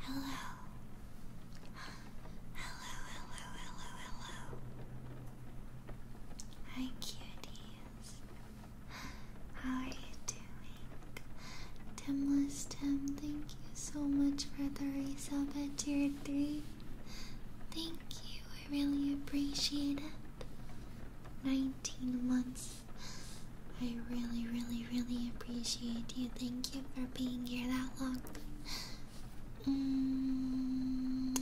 Hello. Hello, hello, hello, Hi, cuties. How are you doing? Timless Tim, thank you so much for the resub at tier 3. Thank you, I really appreciate it. 19 months. I really, really, really appreciate you. Thank you for being here that long. Mm.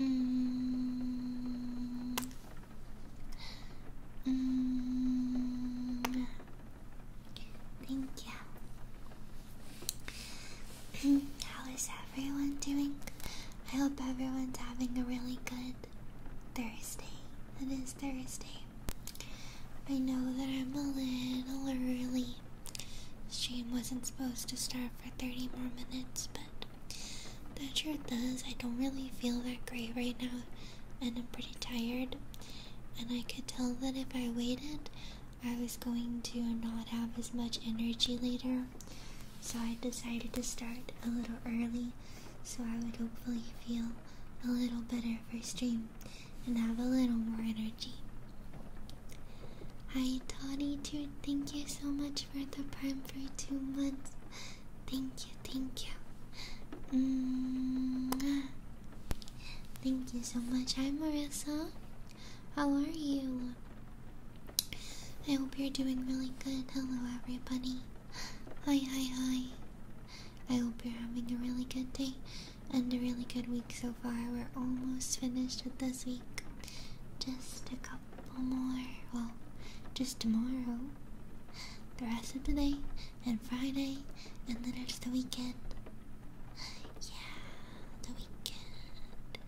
Mm. Mm. Thank you. Mm, how is everyone doing? I hope everyone's having a really good Thursday. It is Thursday. I know that I'm a little early. Stream wasn't supposed to start for 30 more minutes, but the truth does. I don't really feel that great right now, and I'm pretty tired. And I could tell that if I waited, I was going to not have as much energy later, so I decided to start a little early so I would hopefully feel a little better for stream and have a little more energy. Hi, Toddy Dude, thank you so much for the prime for two months. Thank you, thank you. Mm Thank you so much. I'm Marissa. How are you? I hope you're doing really good. Hello, everybody. Hi, hi, hi. I hope you're having a really good day and a really good week so far. We're almost finished with this week. Just a couple more. Well, just tomorrow. The rest of the day, and Friday, and then it's the weekend. Yeah, the weekend.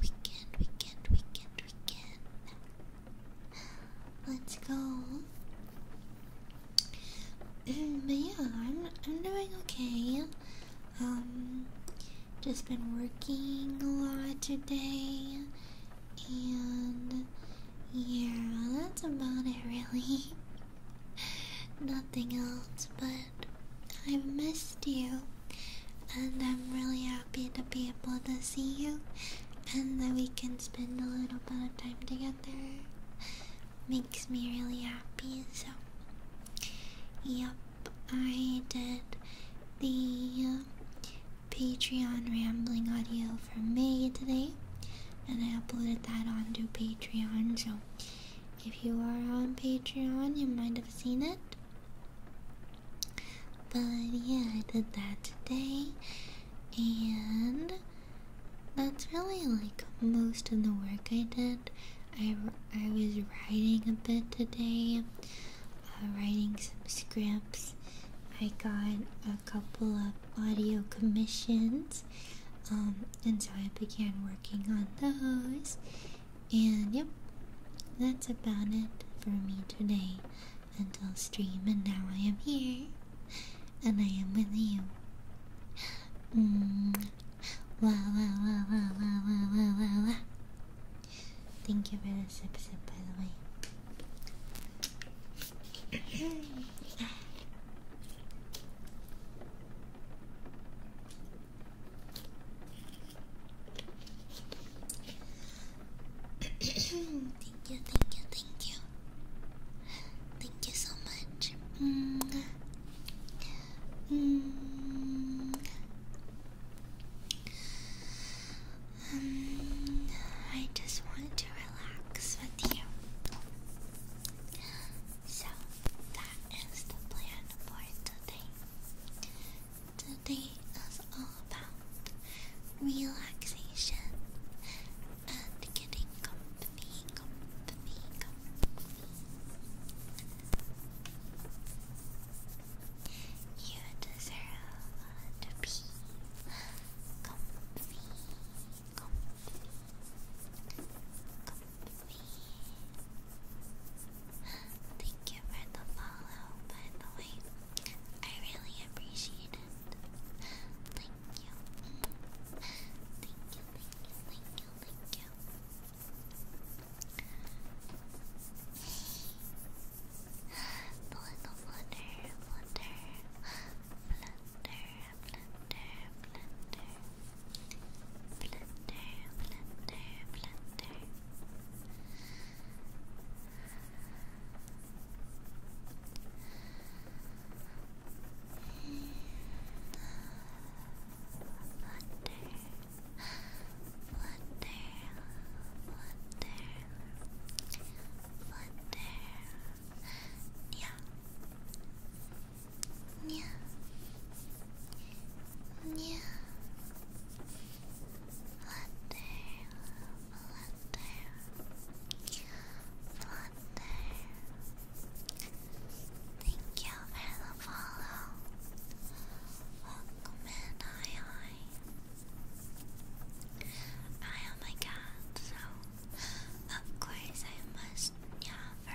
Weekend, weekend, weekend, weekend. Let's go. but yeah, I'm, I'm doing okay. Um, just been working a lot today. And yeah, that's about it, really. Nothing else, but I've missed you, and I'm really happy to be able to see you, and that we can spend a little bit of time together. Makes me really happy, so. Yep, I did the uh, Patreon rambling audio for me today, and I uploaded that onto Patreon, so if you are on Patreon, you might have seen it. But yeah, I did that today, and that's really like most of the work I did. I, I was writing a bit today, uh, writing some scripts. I got a couple of audio commissions. Um, and so I began working on those. And yep, that's about it for me today until stream, and now I am here and I am with you. Mm. Wow, wow, wow, wow, wow, wow, wow, wow, Thank you for the sip sip, by the way. thank you, thank you, thank you. Thank you so much. Mm -hmm. -hmm. I just wanted to relax with you. So that is the plan for today. Today is all about relaxation and getting company, company, company. You deserve to be company, company. Thank you for the follow, by the way. I really appreciate it. Thank you. Thank you, thank you, thank you, thank you. The little flutter, Blender, blender, blender. Wonder, wonder, wonder, wonder. Yeah, yeah. Yeah. Flutter, flutter, flutter. Thank you for the follow. Welcome in, hi, hi. I am a cat, so of course I must, yeah, for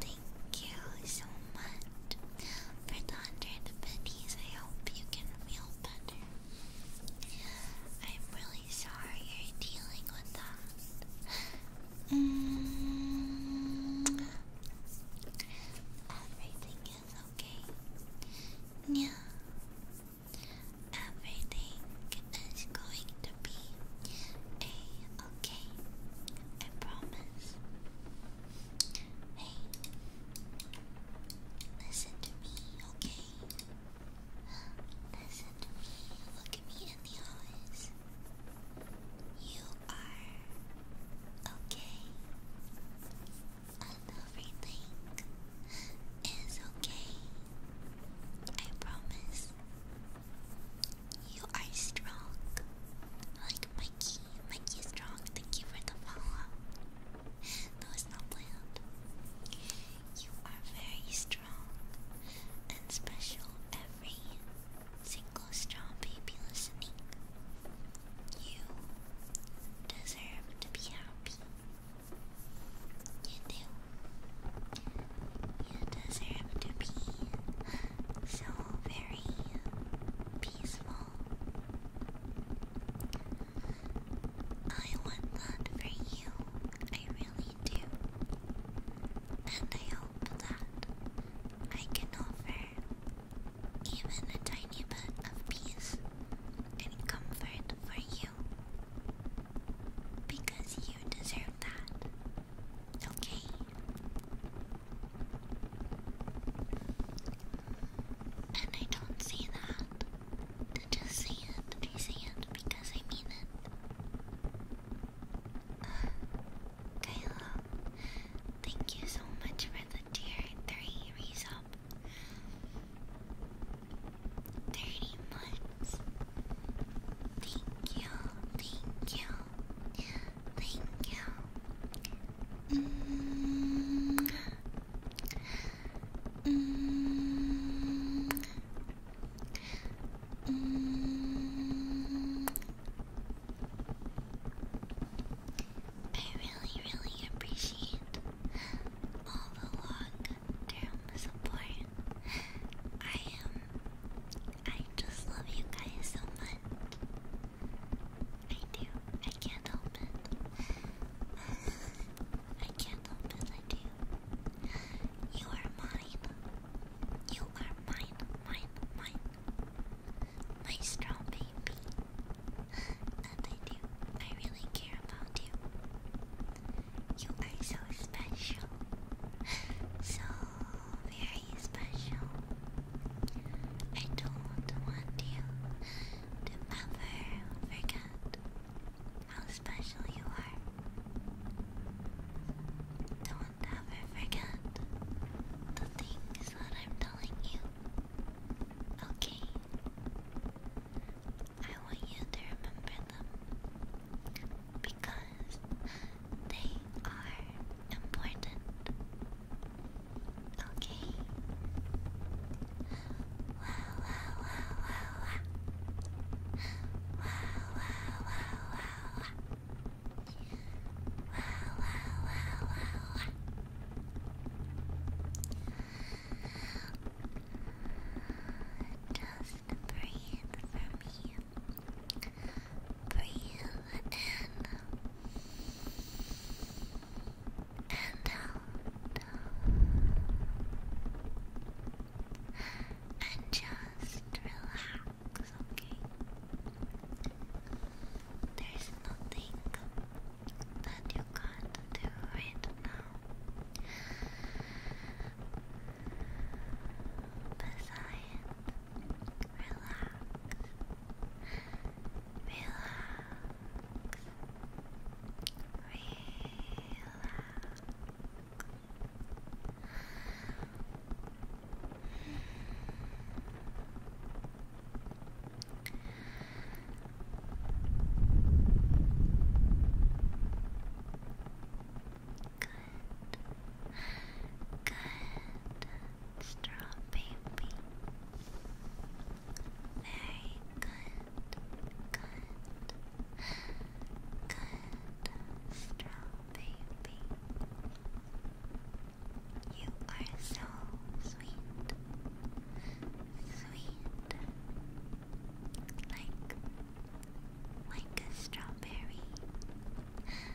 Thank you so much for the hundred pennies. I hope you can feel better. I'm really sorry you're dealing with that. Mm. Everything is okay. Yeah. Everything is going to be Okay, I promise. Hey, listen to me, okay? Listen to me, look at me in the eyes. You are okay, and everything is okay. I promise. You are strong. Like Mikey. Mikey is strong. Thank you for the follow. No, it's not planned. You are very strong and special, every single strong baby listening. You deserve to be happy. You do. You deserve to be so very peaceful. I want that for you. I really do. And I hope that I can offer even a tiny bit of peace and comfort for you. Because you deserve that. Okay. And I don't say that to just say it. I say it because I mean it. Kyla, thank you so much for the tier 3 resub. 30 months. Thank you, thank you. Thank you. Mm. Mm. Mm. I really, really appreciate all the long term support. I am I just love you guys so much. I do. I can't help it. I can't help it. I do. You are mine. You are mine, mine, mine. My strong baby. I do. I really care about you. You are so special. So very special. I don't want you to ever forget how special you are. Don't ever forget the things that I'm telling you. Okay? I want you to remember them because they are important. Okay. Wow, wow, wow, wow, wow. Wow, wow, wow, wow, wow. Wow, wow, wow, wow, wow. Just breathe for me. Breathe in and out. And just relax, okay? There's nothing that you can't do right now. Besides Relax. Relax. Relax. Good. Good straw Very good, good, good straw You are so sweet, sweet, like like a strawberry.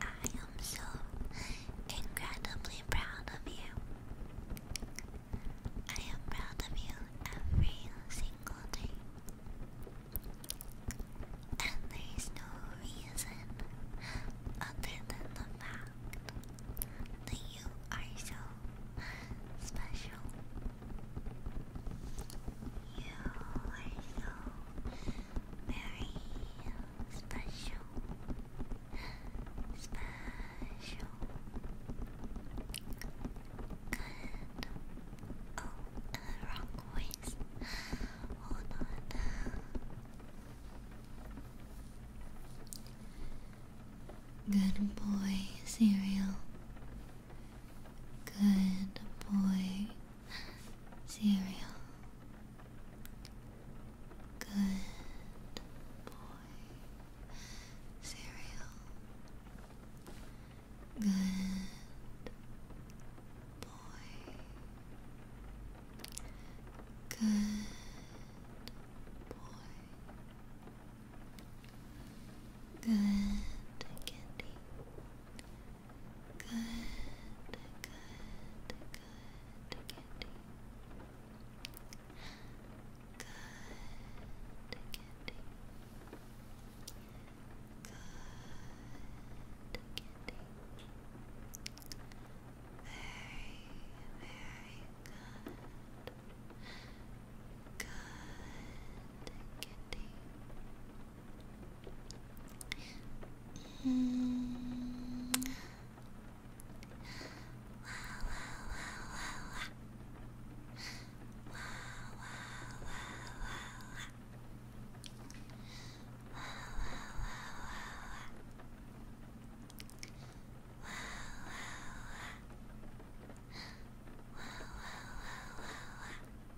I am so incredibly proud of you. I am proud of you every single day. And there is no reason other than the fact that you are so special. You are so very special, special, good. Oh, uh, wrong voice. Hold on. Good boy, cereal. Good boy, cereal. Good boy. Cereal. Good boy. Good boy. Good candy good, good kitty. Good kitty. Good kitty. Very, very good. Good Good 嗯，哇哇哇哇哇，哇哇哇哇哇，哇哇哇哇哇，哇哇哇哇哇。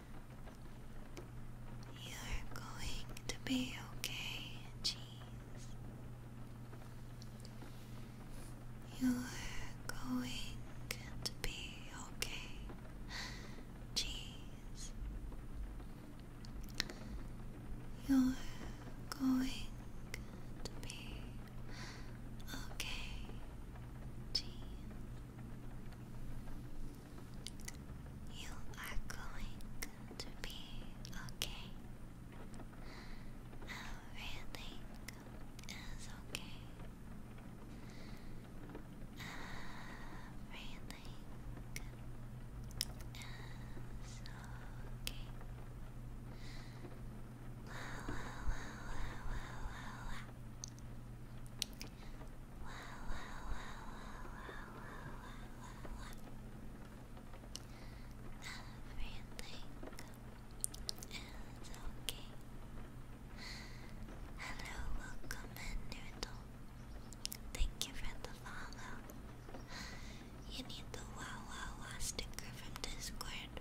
You're going to be okay, cheese. You're going to be okay, cheese. You're going to be okay, cheese. You are going to be okay. Everything is okay. Everything is okay. La la la la la la Wow, wow, wow, wow, wow, wow, wow, Everything is okay. Hello, welcome in, Noodle. Thank you for the follow. You need the wow, wow, wow sticker from Discord.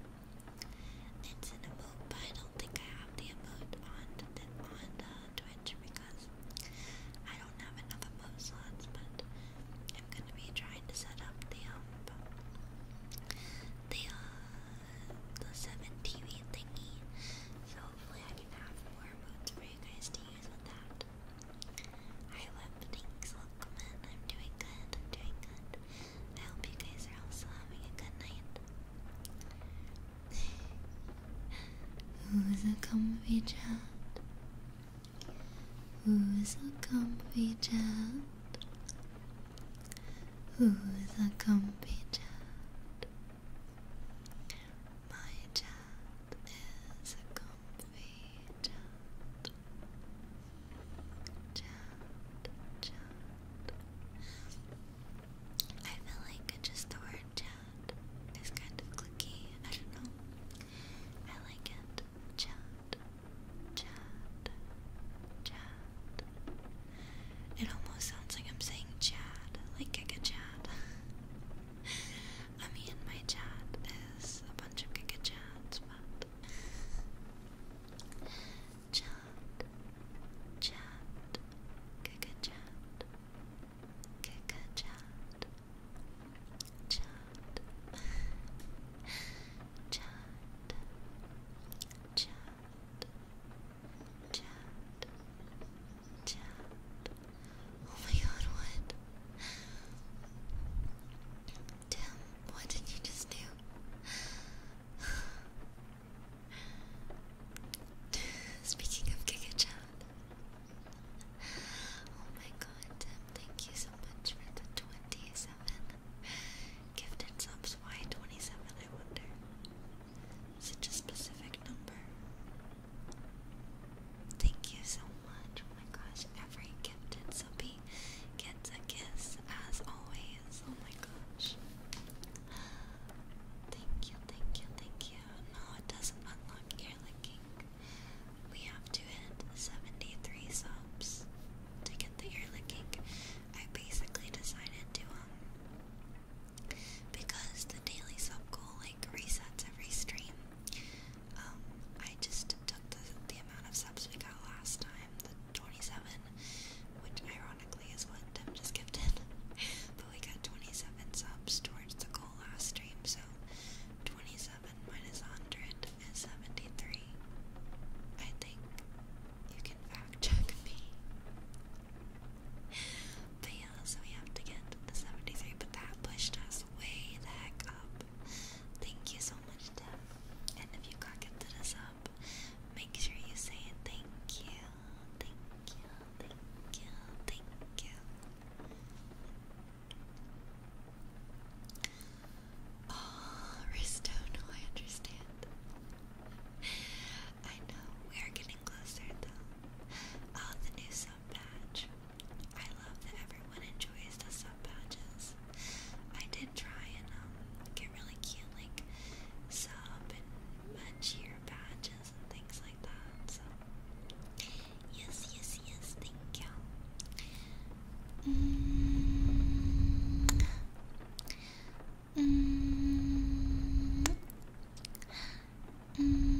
It's an emote, but I don't think I have the emote on the, on the uh, Twitch because I don't have enough above slots, but I'm gonna be trying to set up the um, the uh, the seven TV thingy. So hopefully I can have more modes for you guys to use with that. Hi web things, welcome I'm doing good, I'm doing good. I hope you guys are also having a good night. Who's a comfy child? Who's a comfy child? Who's a comfy child? My child is a comfy child. Child, child, I feel like just the word chat is kind of clicky. I don't know. I like it. Chat. Chat. Chat. It almost sounds like I'm saying Chad, like Giga I mean, my chat is a bunch of Giga but. Chat chat, Kaka chat, Kaka chat, chat, chat, chat, chat, chat. Oh my god, what? Tim, what did you just do? Speaking of Giga oh my god, thank you so much for the 27 gifted subs. Why 27? I wonder. Such a specific number. Thank you so much. Oh my gosh, every gifted subby gets a kiss as always. Oh my gosh. Thank you, thank you, thank you. No, it doesn't unlock ear We have to hit 73 subs to get the ear I basically decided to, um, because the daily sub goal like resets every stream, um, I just took the, the amount of subs we got last time, the 27, which ironically is what Tim just gifted. we got 27 subs towards the goal last stream, so 27 minus 100 is 73. I think you can fact check me. But yeah, so we have to get the 73, but that pushed us way the heck up. Thank you so much, Deb. And if you got gifted us up, make sure you say thank you thank you, thank you, thank you. Oh, Risto, I understand. I know, we are getting closer though. Oh, the new sub patch. I love that everyone enjoys the sub patches. I did try and get really cute, like sub and cheer badges yes, yes, yes, thank you. Mm. Mm. Mm.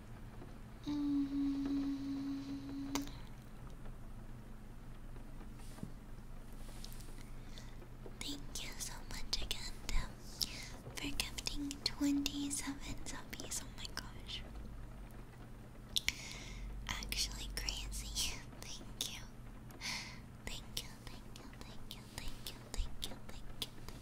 Mm. Thank you so much again, for gifting 27 zombies. Oh my gosh. Actually, crazy. Thank you, thank you, thank you, thank you, thank you, thank you, thank you.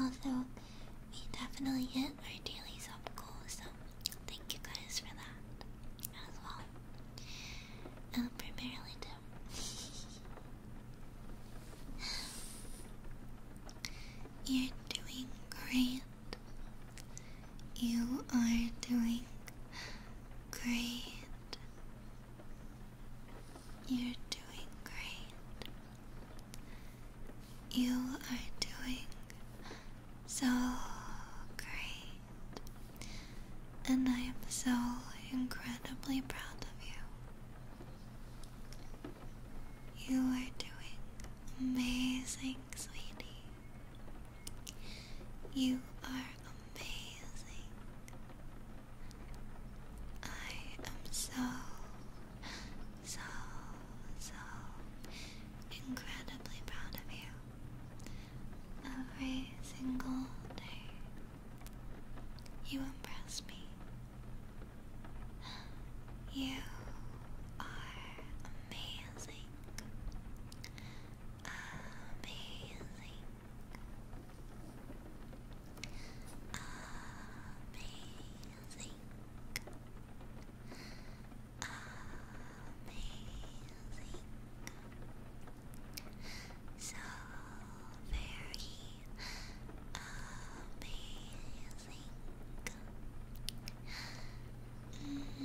Although we definitely hit our daily sub goal, thank you guys for that as well. Um, primarily do. You're doing great. You are doing great. You're doing great. You are doing so great. And I am so incredibly proud of you. You are doing amazing, sweetie. You are amazing. I am so, so, so incredibly proud of you every single day. You impress me. You are amazing. Amazing. Amazing. Amazing. So very amazing.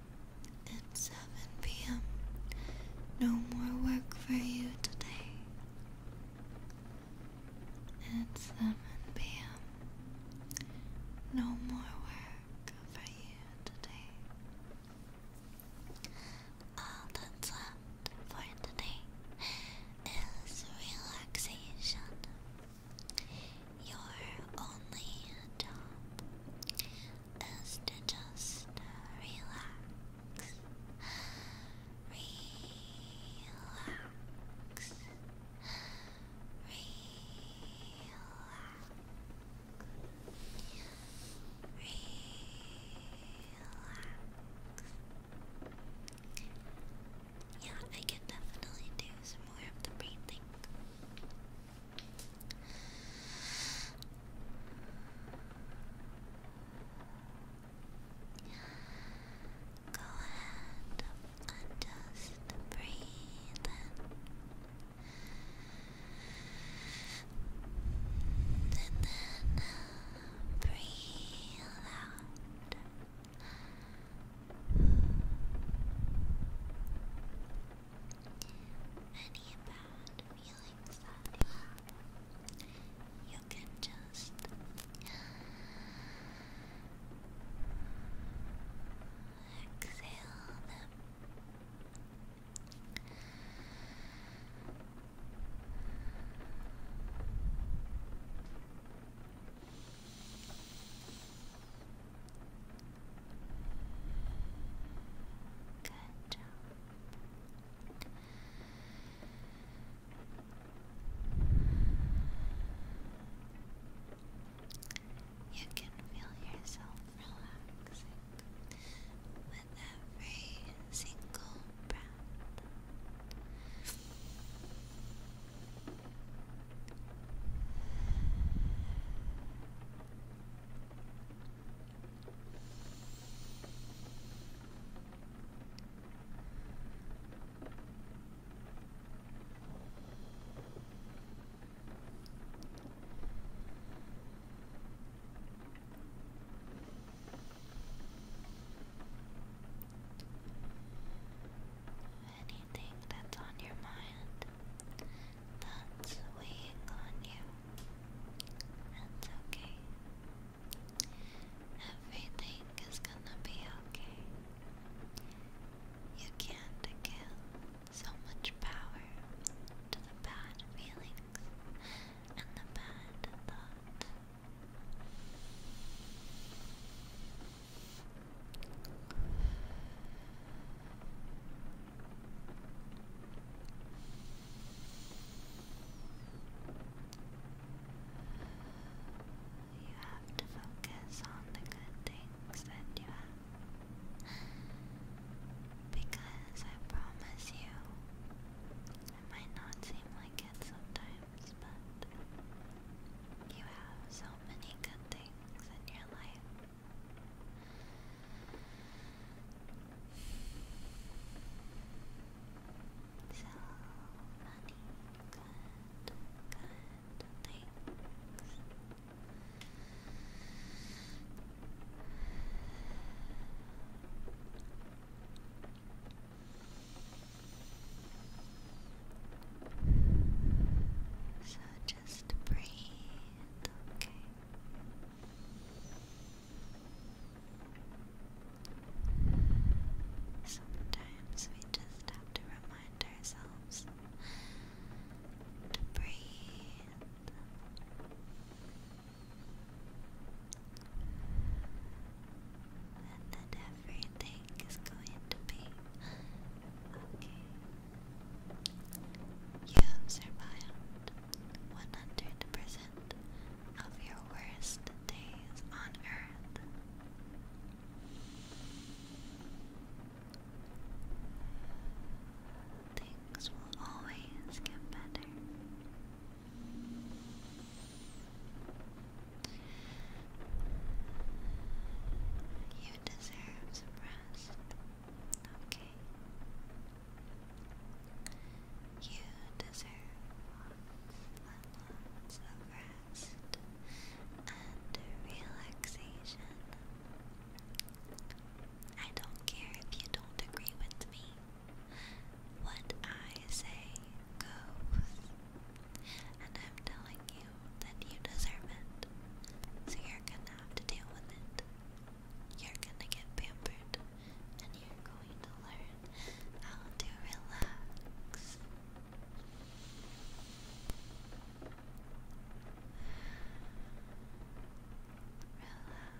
It's 7 p.m. No more work for you today. It's 7 p.m. No more work for you today. All that's left for today is relaxation. Your only job is to just relax, relax, relax, relax. Yeah, I can definitely do some more of the breathing. Go ahead and just breathe in. And then breathe out. Any bad feelings you can just exhale Good you can feel yourself relaxing with every single breath. Anything that's on your mind that's weighing on you. That's okay. Everything is gonna be okay. You can't give so much power to the bad feelings and the bad thoughts. You have to focus on the good things that you have. Because I promise you, it might not seem like it sometimes, but you have so many good things in your life. So funny. Good. Good. Thanks. So just breathe, okay. Sometimes we just have to remind ourselves to breathe. that everything is going to be okay. You survived. 100% of your worst days on earth. Things will always get better. You deserve some rest. You deserve lots of rest and relaxation. I don't care if you don't agree with me. What I say goes. And I'm telling you that you deserve it. So you're gonna have to deal with it. You're gonna get pampered and you're going to learn how to relax. Relax. Relax. Relax.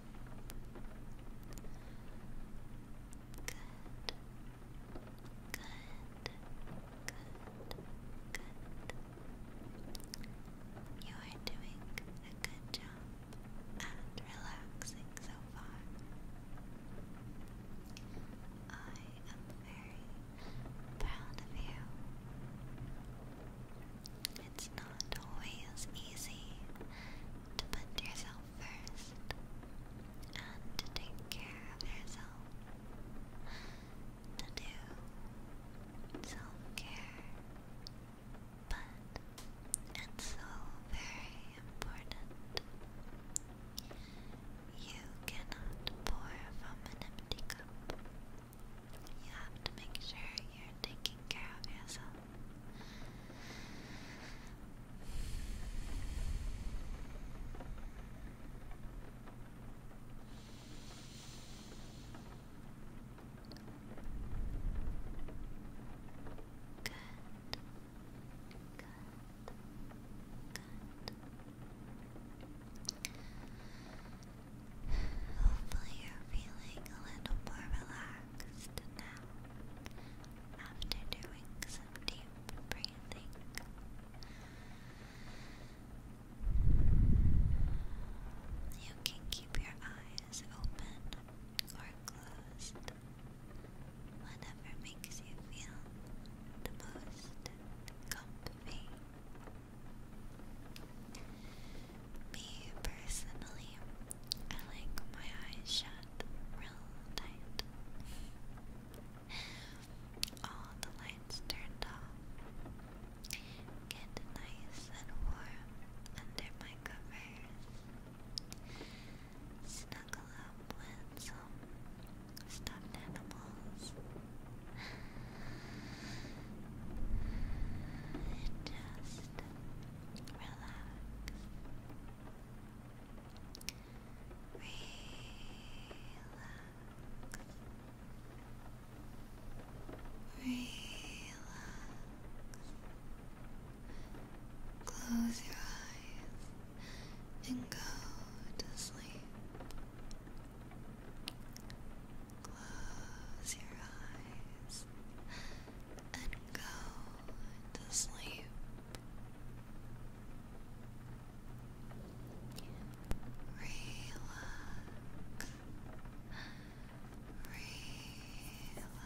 good. You are doing a good job at relaxing so far. I am very proud of you. It's not always easy to put yourself first and to take care of yourself, to do self care, but it's so very important. You cannot pour from an empty cup. You have to make sure you're taking care of yourself. Good. Good. Good. Hopefully, you're feeling a little more relaxed relaxed now after doing some deep breathing. You can keep your eyes open or closed, whatever makes you feel the most comfy. Me personally, I like my eyes shut real tight. All the lights turned off. Get nice and warm under my covers. Snuggle up with some stuffed animals. Just relax, relax. Close your eyes and go to sleep. Close your eyes and go to sleep. Relax. Relax. Relax.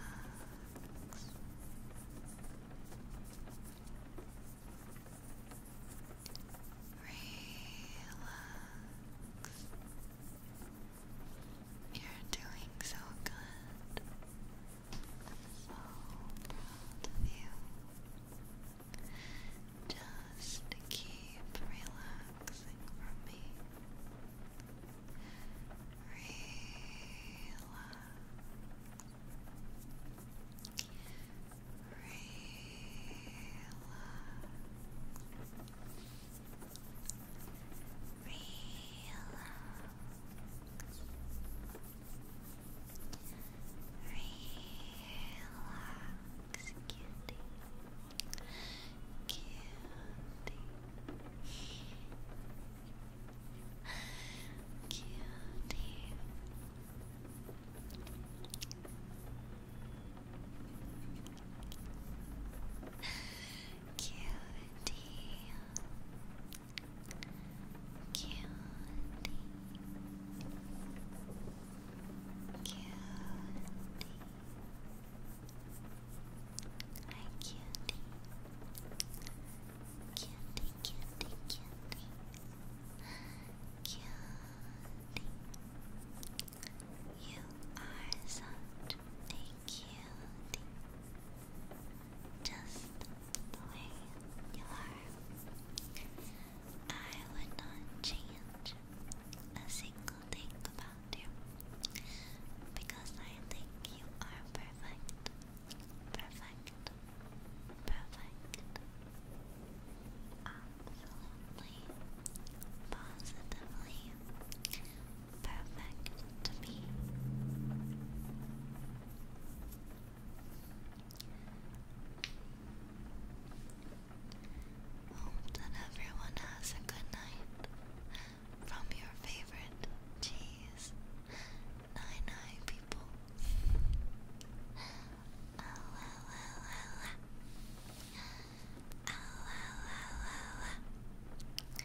You're doing so good. so proud of you. Just keep relaxing for me. Relax. Relax. Relax, cutie. Cutie. Cutie. Cutie. Cutie. Cutie. Hi, cutie. Cutie, cutie, cutie. Cutie. You are such a cute. Just the way you are. I would not change a single thing about you because I think you are perfect. Perfect. Perfect. Absolutely. Positively perfect to me. Hope that everyone has a good night from your favorite cheese. Nine nine people. Ow, ow, ow, ow, ow. Ow,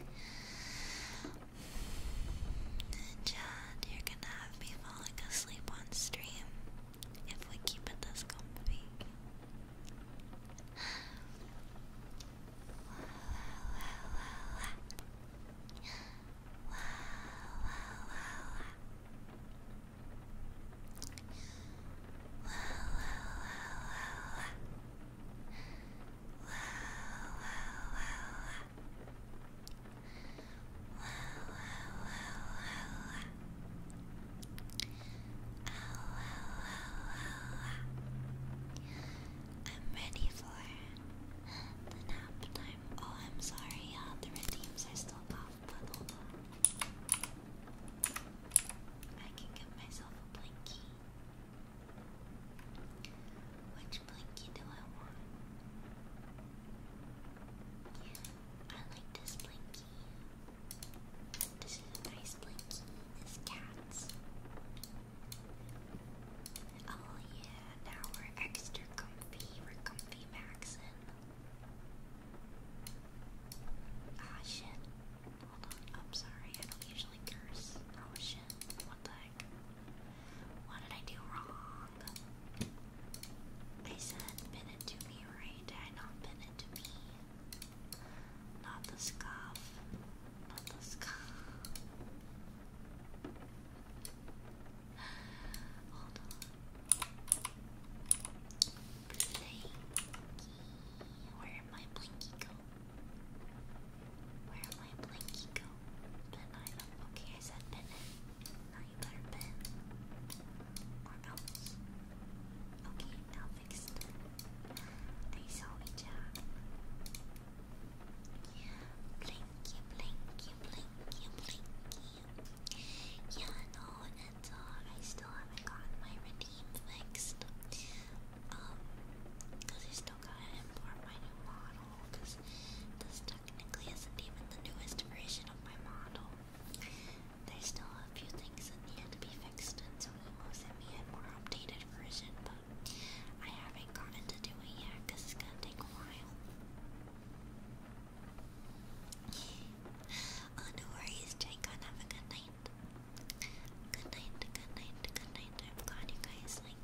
ow, ow, ow, ow. Chad, you're gonna have me falling asleep on stream if we keep it this comfy. I'm ready for the nap time. Oh, I'm sorry, uh, the redeems are still off, but hold on. I can give myself a blankie. Which blankie do I want? I like this blankie. This is a nice blankie. This cat's. Oh yeah, now we're extra comfy. We're comfy maxin. Ah shit. Hold on. I'm sorry. I don't usually curse. Oh shit. What the what did I do wrong? I said pin it to me, right? Did I not pin it to me? Not the scarf. Not the scarf. Hold on. Blanky. Where'd my blankie go? Where'd my blankie go? Okay, I said Ben. Now you better Ben. Or else. Okay, now fixed. I saw me job. Blinky, blinky, blinky, blinky. Yeah, no, it's all. I still haven't gotten my redeem fixed. Um, I still gotta import my new model, this technically isn't even the newest version of my model. There's still a few things that need to be fixed, and so send me a more updated version, but I haven't gotten to do it yet, because it's gonna take a while. oh, no worries, Jacob, have a good night. Good night, good night, good night. I'm glad you guys um,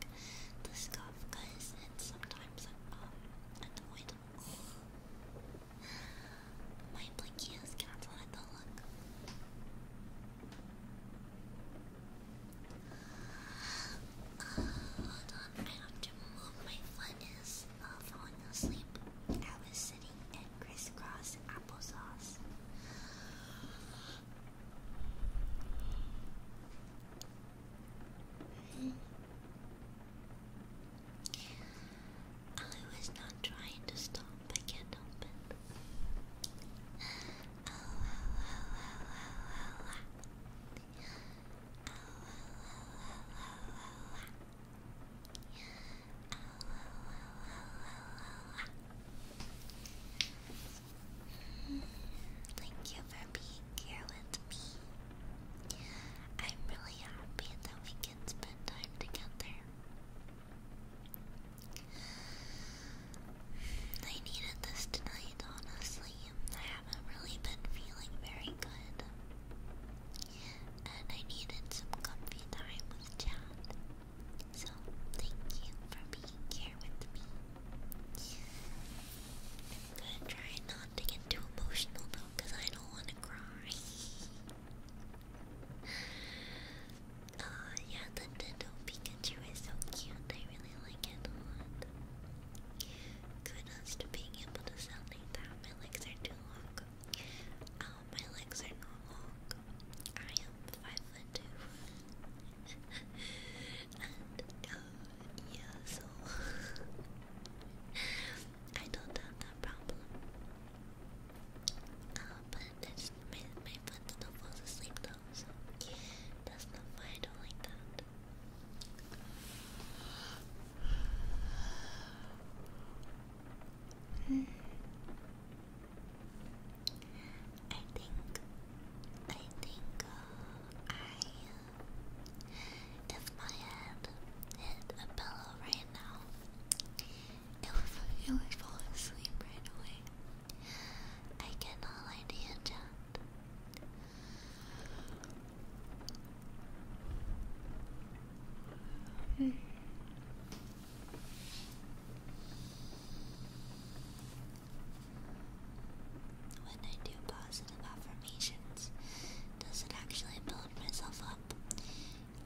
the scarf because it's sometimes um unavoidable. My blinky is cancelled at the look. hold on, I have to move. My foot is uh, falling asleep. I was sitting in crisscross applesauce. I was not trying to stop, I can't help Thank you for being here with me. I'm really happy that we can spend time together. I needed this tonight, honestly. I haven't really been feeling very good. And I needed some comfy time with Chad. So, thank you for being here with me. gonna try not to get too emotional because I don't want to cry. uh, yeah, the Nintendo Pikachu is so cute. I really like it a lot. Kudos to being able to sound that. My legs are too long. Oh, my legs are not long. I am five foot two. Uh, yeah, so I don't have that problem. Uh, but my my friends still falls asleep though, so that's not why I don't like that. Hmm. I think, I think uh, I, uh, if my head hit a pillow right now, it would, it would fall asleep right away. I cannot lie to when I do positive affirmations, does it actually build myself up?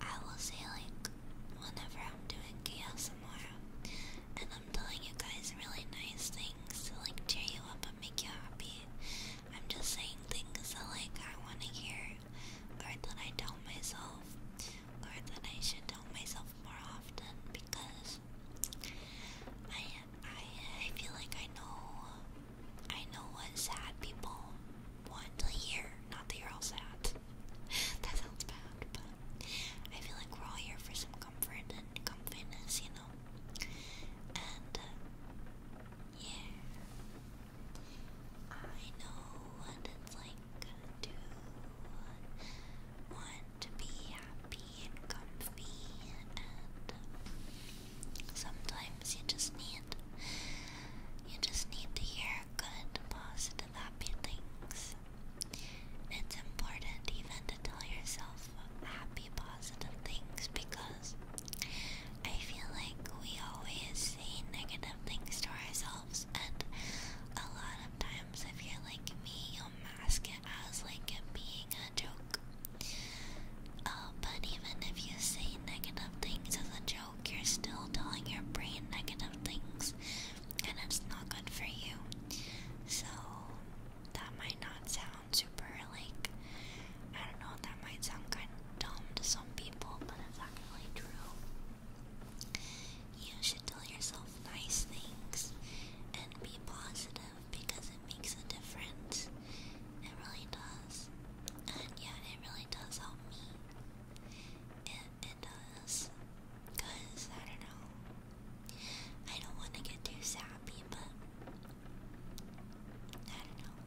I will say, like, whenever I'm doing chaos tomorrow, and I'm telling you guys really nice things to, like, cheer you up and make you happy, I'm just saying things that, like, I want to hear, or that I tell myself, or that I should tell myself more often because I I I feel like I know I know what sad people want to hear. Not that you're all sad. that sounds bad, but I feel like we're all here for some comfort and comfortness, you know. And uh, yeah, I know what it's like to want to be happy and comfy, and um, sometimes you just need you just need to hear good, positive, happy things. It's important even to tell yourself happy, positive things because I feel like we always say negative things to ourselves, and a lot of times, if you're like me, you mask um, it as like it being a joke. Uh, but even if you say negative things as a joke, you're still telling your brain negative things, and it's not good for you. So that might not sound super like I don't know. That might sound kind of dumb to some people, but it's actually true. You should tell yourself nice things and be positive because it makes a difference. It really does. And yeah, it really does help me. It, it does. Because, I don't know. I don't want to get too sappy, but. I don't know.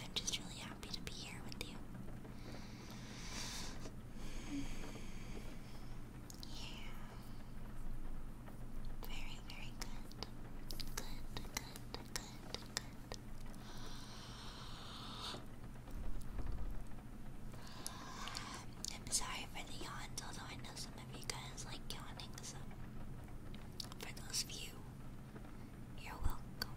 I'm just really happy to be here with you. Yeah. Very, very good. Good, good, good, good. I'm sorry for the yawns, although I know some of you guys like yawning, so for those of you, you're welcome.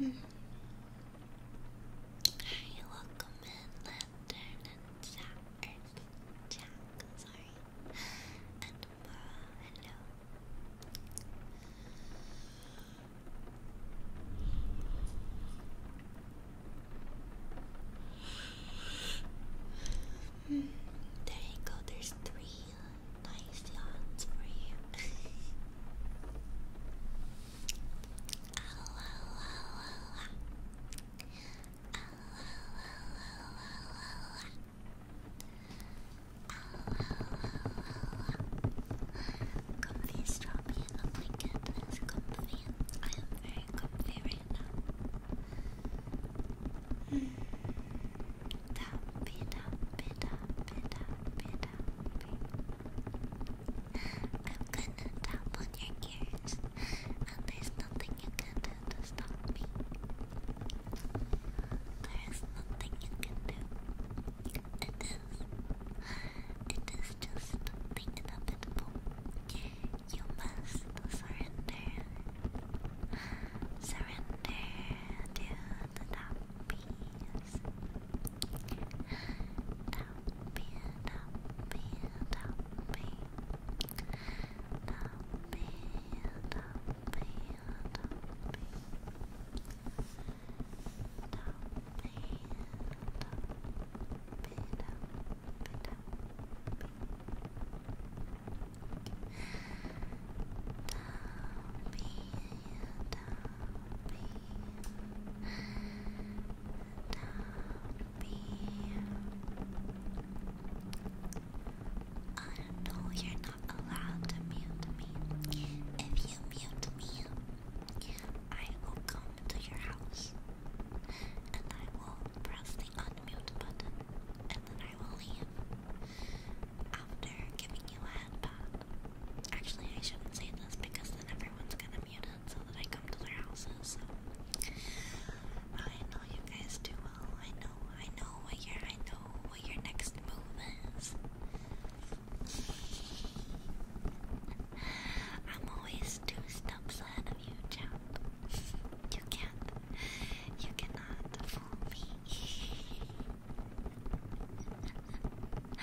Hmm. Hi, welcome in, Lantern and Jack, er, Jack, sorry, and uh, hello there you go, there's three nice yarns for comfy strap me in a I am very comfy now. Mm. Tap it up, it I'm gonna tap on your ears, and there's nothing you can do to stop me. There is nothing you can do. It is. It is just inevitable. You must surrender. Surrender to the top piece. Top piece, top piece, top piece. Top piece, top piece, Oh no, you're not allowed to mute me. If you mute me, I will come to your house and I will press the unmute button and then I will leave after giving you a head Actually, I shouldn't say this because then everyone's gonna mute it so that I come to their houses. So I know you guys do well. I know, I know what your, I know what your next move is. I'm always two steps ahead of you, chap. You can't, you cannot fool me.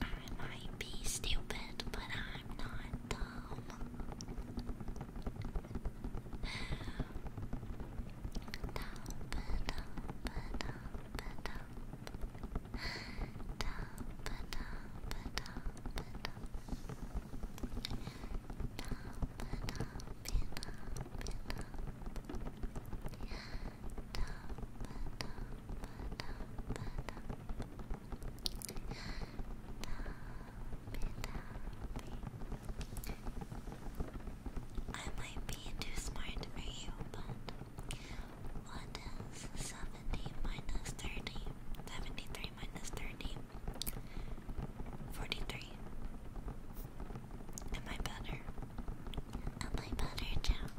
I might be stupid, but I'm not dumb. Dumb, dumb, dumb, dumb, dumb. I might be too smart for you, but what is 70 minus 30? 73 minus 30? 43. Am I better? Am I better, John?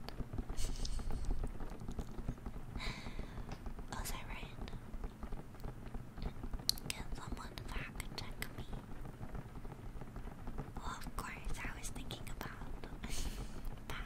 Was I right? Can someone fact check me? of course, I was thinking about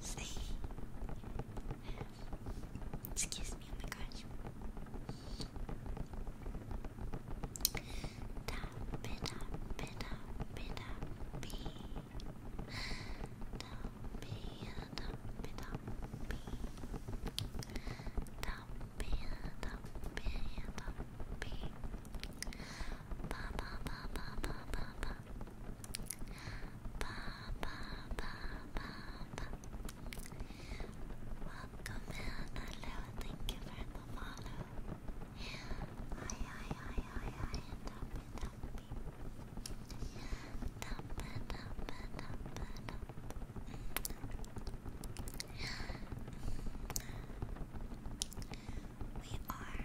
See? Excuse me, oh my gosh. Da, beta, beta, beta, b. Da, beta, beta, b. Da, beta, beta, b. Ba, ba, ba, ba, ba, ba, ba. Ba, ba, ba, ba, ba. Welcome in, hello, thank you for the follow. Hi, hi, hi, hi, hi, and happy, Dump it, dump it, dump it, dump it. We are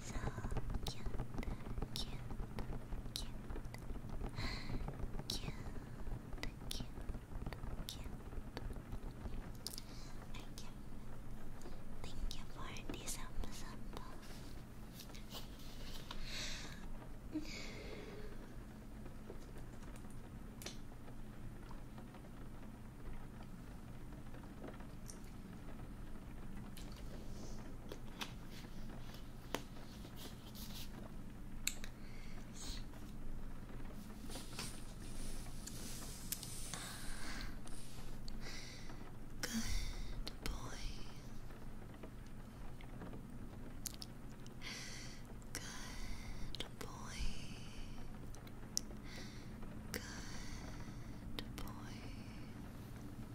So cute, cute, cute, cute, cute, cute. Thank you. Thank you for this sample. Good boy. Good boy. Good boy.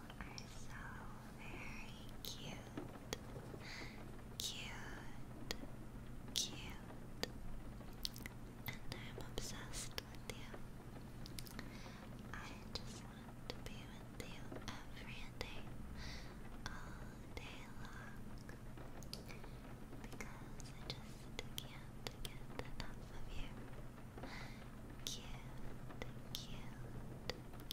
are so very cute. Cute. Cute. And I'm obsessed with you. I just want to be with you every day, all day long. Because I just can't get enough of you. Cute, cute, cute.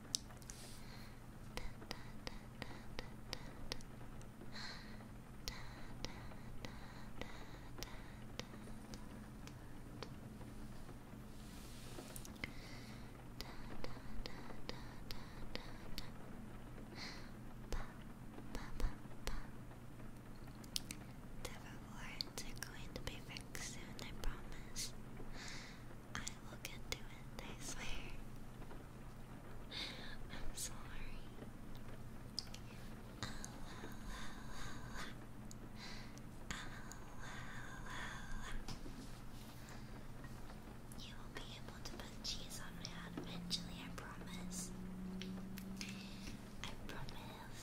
The rewards are going to be fixed soon, I promise. I will get to it, I swear. I'm sorry. you will be able to put cheese on my head eventually, I promise. I promise.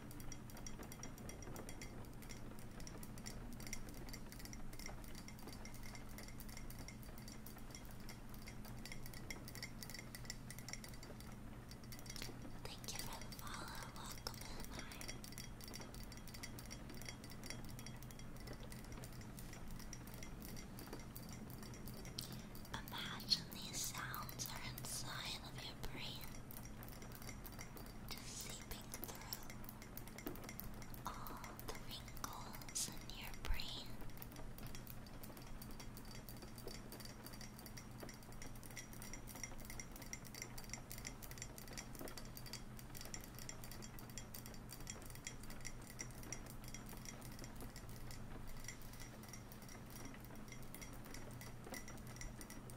Thank you for the follow. Welcome Imagine these sounds are inside of your brain seeping through all the wrinkles in your brain.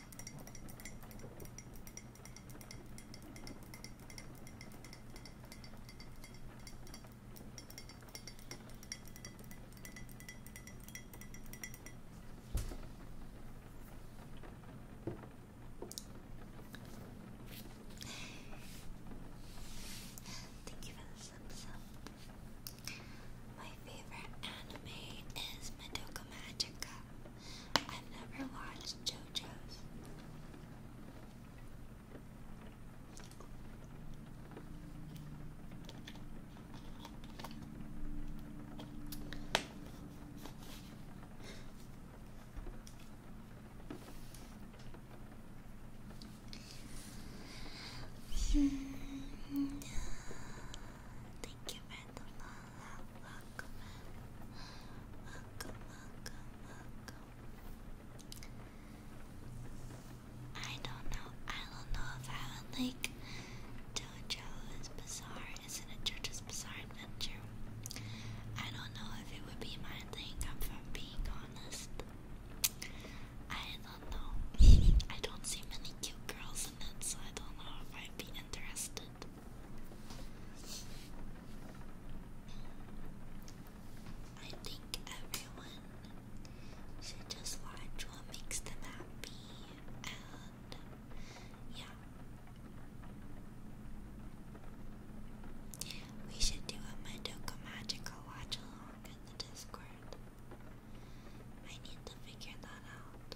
Thank you for the My favorite anime is Madoka Magica. I've never watched JoJo's. Thank you for welcome, welcome, I don't know. I don't know if I would like JoJo's Bizarre. Isn't it JoJo's Bizarre Adventure? I don't know if it would be my thing. I'm from being honest. I don't know. I don't see many cute girls in it, so I don't know if I'd be interested. I think everyone should just watch what makes them happy and yeah. We should do a Madoka Magical watch along in the Discord. I need to figure that out.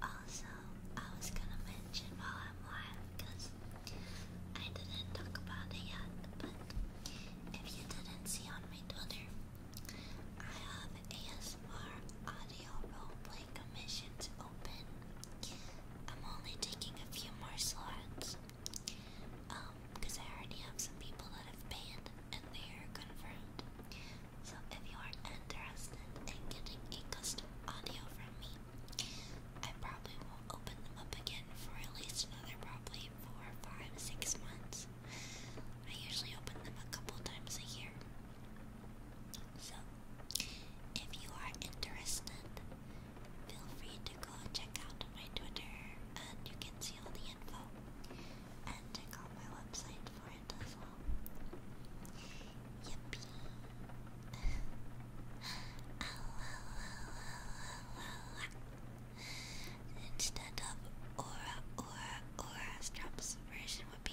Also, I was gonna mention while I'm live because I didn't talk about it yet, but if you didn't see on my Twitter, I have ASMR audio roleplay commissions open. I'm only taking a few more slots. Um, because I already have some people that have paid and they are confirmed. So if you are interested in getting a custom audio from me, I probably will not open them up again for at least another probably four, five, six months. I usually open them a couple times a year. So if you are interested, feel free to go check out my Twitter and you can see all the info. And check out my website for wonderful. Instead of aura, aura, aura, Strap's version would be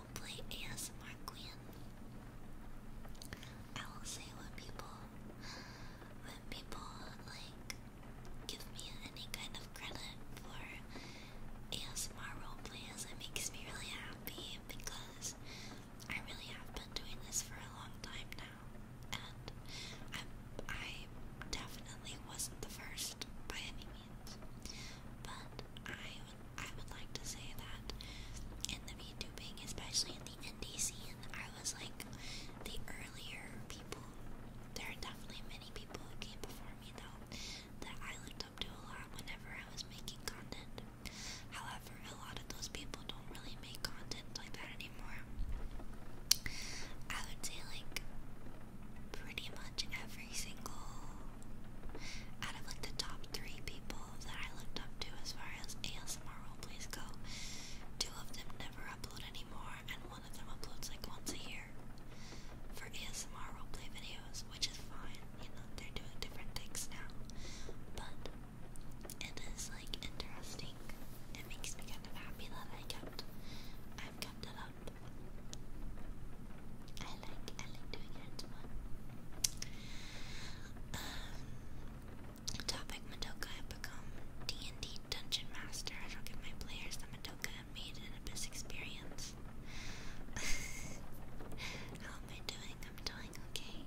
roleplay ASMR Queen. I will say when people, when people like give me any kind of credit for ASMR roleplays, it makes me really happy because I really have been doing this for a long time now, and I definitely wasn't the first by any means, but I I would like to say that in the VTubing, especially in the indie scene, I was like the earlier people. There are definitely many people who came before me though that I looked up to a lot whenever I was making content. However, a lot of those people don't really make content like that anymore. I would say like pretty much every single out of like the top three people that I looked up to as far as ASMR roleplays go, two of them never upload anymore, and one of them uploads like once a year for ASMR roleplay videos, which is fine. You know they're doing different things now, but it is like interesting. It makes me kind of happy that I kept I've kept it up topic Madoka I D&D Dungeon Master. I don't my players Madoka made an abyss experience. How am I doing? I'm doing okay.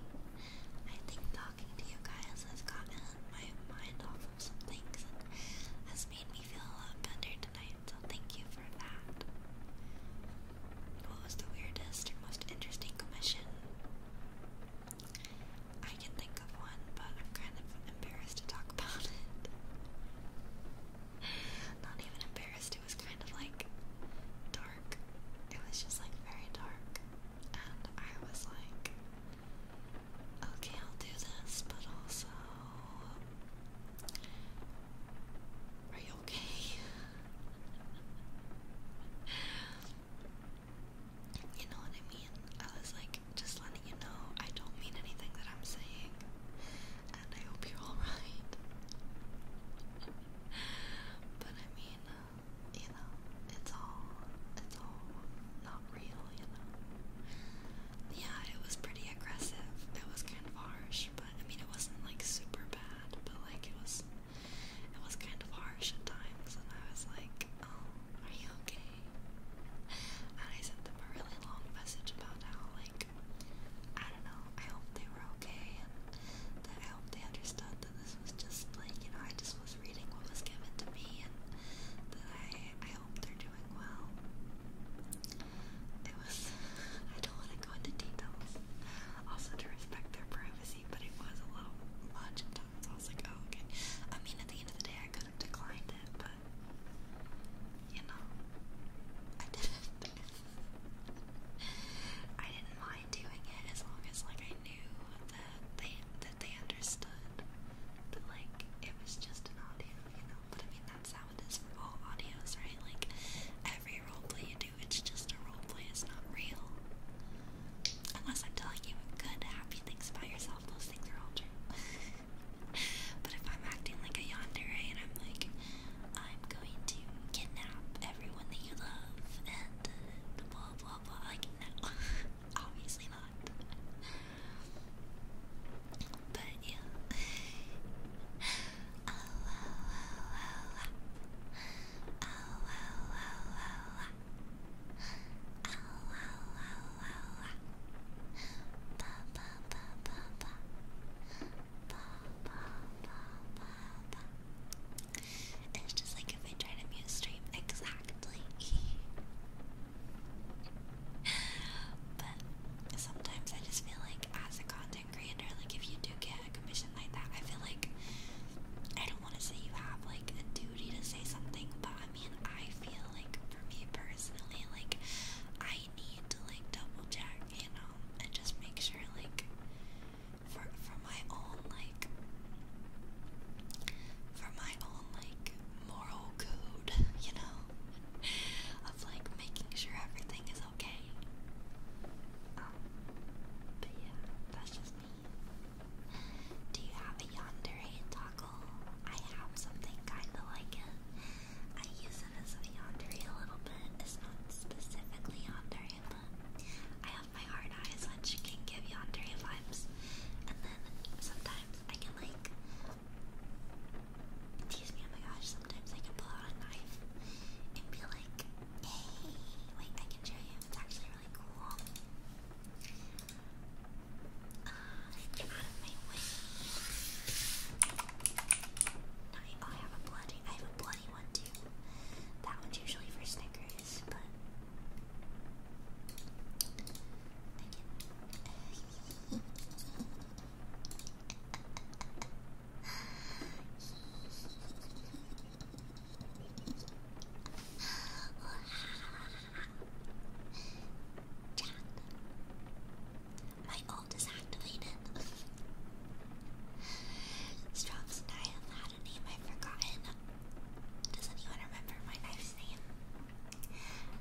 I think talking to you guys has gotten my mind off of some things has made me feel a lot better tonight, so thank you for that. What was the weirdest and most interesting commission? I can think of one, but I'm kind of embarrassed to talk about it. Not even embarrassed, it was kind of like dark. It was just like very dark. And I was like, okay, I'll do this, but also. Are you okay? You know what I mean? I was like, just letting you know I don't mean anything that I'm saying. And I hope you're alright. but I mean, you know, it's all, it's all not real, you know? Yeah, it was pretty aggressive. It was kind of harsh, but I mean, it wasn't like super bad, but like it was it was kind of harsh at times, and I was like, "Oh, are you okay?" And I sent them a really long message about how, like, I don't know, I hope they were okay, and that I hope they understood that this was just like, you know, I just was reading what was given to me, and that I, I hope they're doing well. It was. I don't want to go into details. Also, to respect their privacy privacy, but it was a little much at times. I was like, oh, okay. I mean, at the end of the day, I could have declined it, but you know, I didn't. I didn't mind doing it as long as like I knew that they that they understood that like it was just an audio, you know. But I mean, that's how it is for all audios, right? Like every role play you it's just a role play. It's not real. Unless I'm telling you good, happy things about yourself, those things are all true. but if I'm acting like a yandere and I'm like, I'm going to kidnap everyone that you love and uh, blah blah blah, like no, obviously not. But yeah. It's just like if I try to mute stream exactly. but sometimes I just feel like as a content it grander. Like if you do get a commission like that, I feel like I don't want to say you have like a duty to say something, but I mean I feel like for me personally, like I need to like double check, you know, and just make sure like for for my own like for my own like moral code, you know, of like making sure everything is okay. Um, do you have a yandere toggle? I have something kinda like it. I use it as a yandere a little bit. It's not specifically yandere, but I have my hard eyes which can give yandere vibes. And then sometimes I can like tease me, oh my gosh, sometimes I can pull out a knife and be like, Yay! Wait, I can show you. It's actually really cool. Uh, get out of my way. I, have a bloody, I have a bloody one too. That one's usually for Snickers, but my ult is activated. and I have had a name I've forgotten. Does anyone remember my knife's name?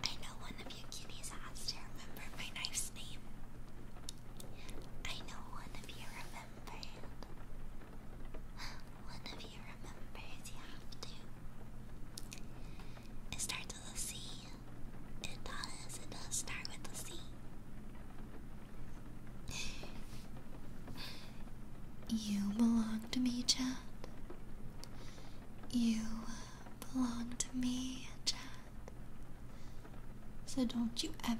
I know one of you kitties has to remember my knife's name. I know one of you remembered. One of you remembers you have to. It starts with a C. It does, it does start with a C. You belong to me, chat. You belong to me, chat. So don't you ever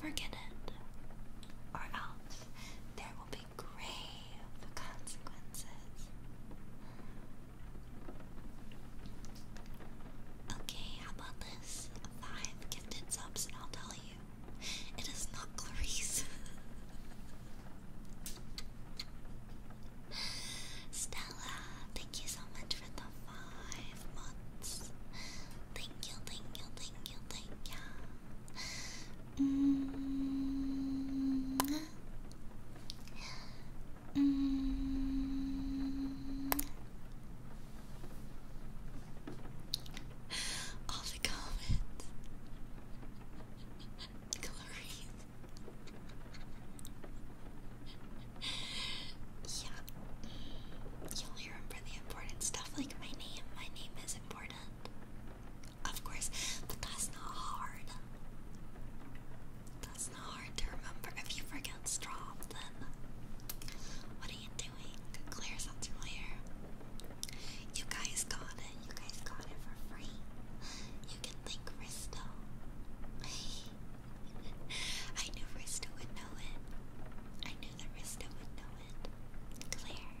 forget it, or else there will be grave consequences. Okay, how about this? Five gifted subs, and I'll tell you. It is not Clarice. Stella, thank you so much for the five months. Thank you, thank you, thank you, thank you. Mm -hmm. Mm -hmm. All the comments. Glory. yeah. You'll hear him for the important stuff like my name. My name is important. Of course, but that's not hard. That's not hard to remember. If you forget then what are you doing? Clear sounds familiar. You guys got it. You guys got it for free. You can thank Risto. I knew Risto would know it. I knew the Rista would Claire.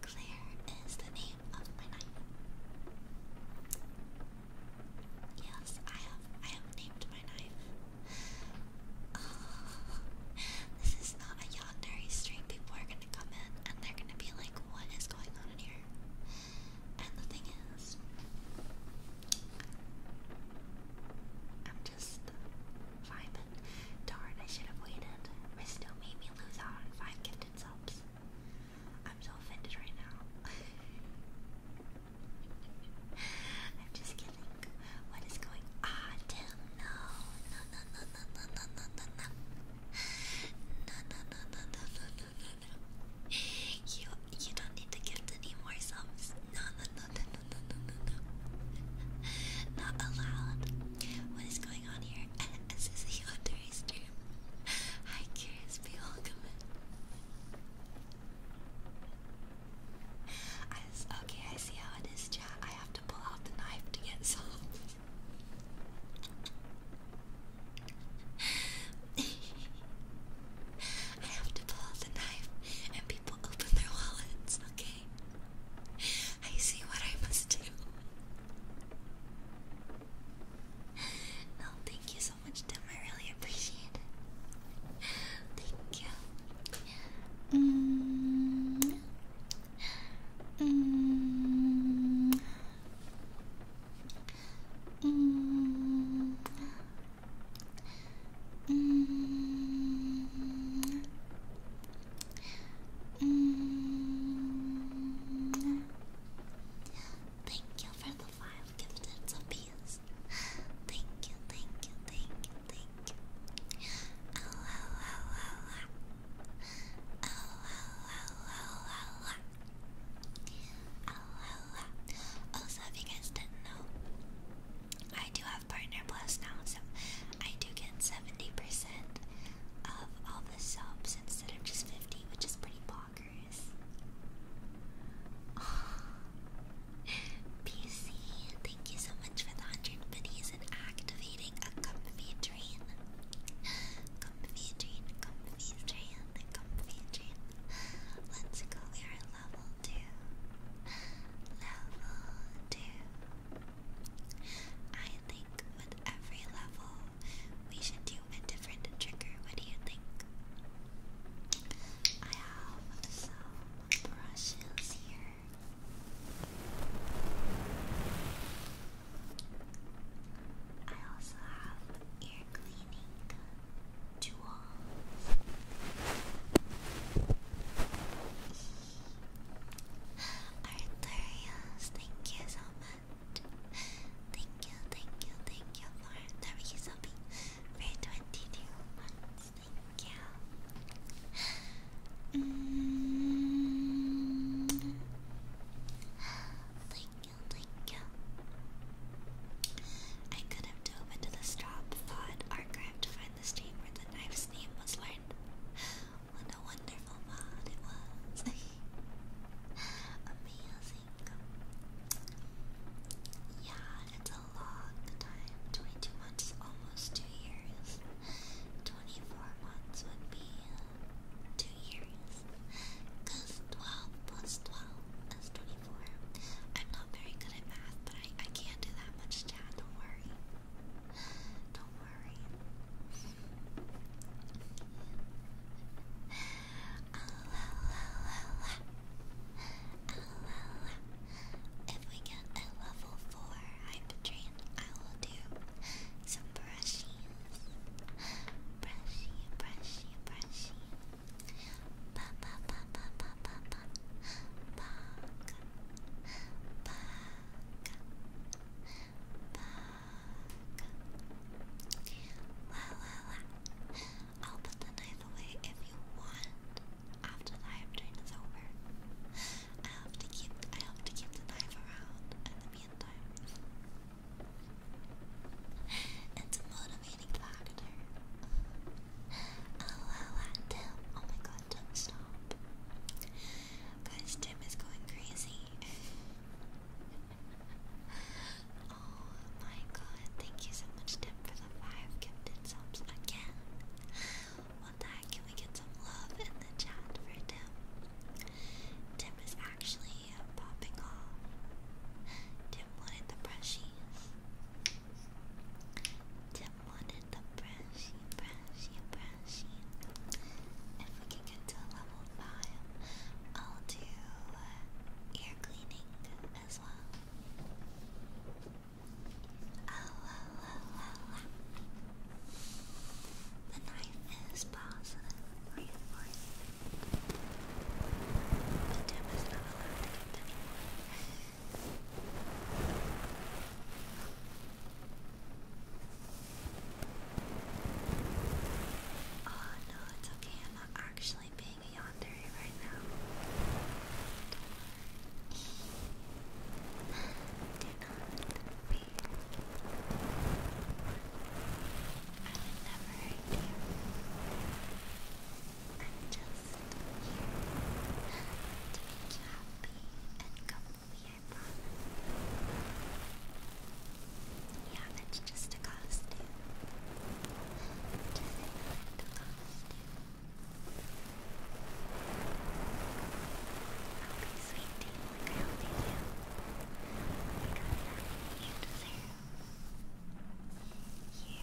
Claire is the name of my knife. Yes, I have I have named my knife. Oh, this is not a yandere stream. People are gonna come in and they're gonna be like, what is going on in here? And the thing is, I'm just five. Darn, I should have waited. Misto made me lose out on five gifted subs. I'm so offended right now. I'm just kidding. What is going Ah, damn, no. No, no, no, no, no, no, no, no, no. No, no, no, no, no, no, no, no, no. You, you don't need to gift any more subs. No, no, no, no, no, no, no, no, Not allowed. What is going on here? this is a Yandere stream. Hi, curious people, welcome in. okay, I see how it is, chat. I have to pull out the knife to get solved. I have to pull out the knife and okay? I see what I must do. No, thank you so much, Tim. I really appreciate it. Thank you. Mm. Mm. Mm. Mm. Thank you for the five gifted apiece. Thank you, thank you, thank you, thank you. oh. Oh, oh, oh, oh, oh. Oh, oh, oh. Also, if you guys didn't know, I do have Partner Plus now, so I do get 70% of all the subs instead of just 50, which is pretty bonkers. PC, thank you so much for the 100 biddies and activating a comfy train. Comfy train, comfy train, comfy train. Let's go, we level 2. Level 2. I think with every level we should do a different trigger. What do you think? I have some brushes here. I also have ear cleaning tools. Arthurius, thank you so much. Thank you, thank you, thank you for Arthurius Obi for 22 months. Mm. Thank you. Thank you, I could have dove into the straw thought archive to find the stream where the knife's name was learned. What a wonderful mod it was. Amazing. Yeah, it's a long time. 22 months, almost 2 years. 24 months would be uh, 2 years. Because 12 plus 12 is 24. I'm not very good at math, but I, I can't do that much chat, don't worry. Don't worry. If we get a level 4 hype I will do some brushies. Brushy, brushy, brushy. Pa pa pa pa pa pa pa. Pa wow. I'll put the knife away if you want after the live stream is over. I have to keep I have to keep the knife around in the meantime. It's a motivating factor. Oh, wow, wow, Oh my god, Guys, Tim is going crazy. oh my god, thank you so much, Tim, for the five gifted subs again. One day, can we get some love in the chat for Tim? Tim is actually popping off. Tim wanted the brushies. Tim wanted the brushy, brushy, brushy. If we can get to level 5, I'll do uh, ear cleaning as well. Oh, oh, oh, oh, oh. The knife is positive reinforced. The dim is not allowed to continue. Oh no, it's okay. I'm not actually being a yonder right now. Do not be. I would never hurt you. I'm just here to make happy and comfortable. Yeah, that's just a costume. Just a costume. Okay, sweet tea, like I hope you do. Thank you.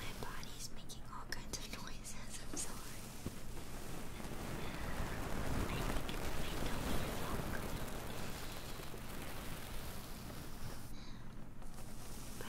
My body's making all kinds of noises, I'm sorry. I think it's my tummy is But...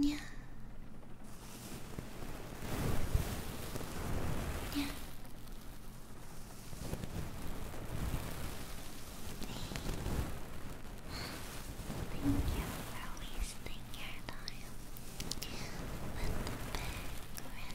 Yeah. Yeah. Thank you for wasting your time with the bag ready.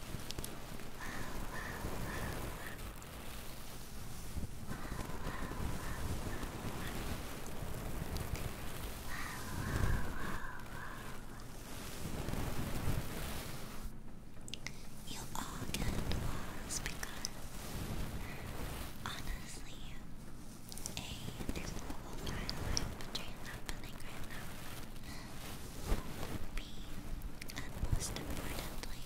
You all get applause because honestly, A, there's a whole pile of and most importantly,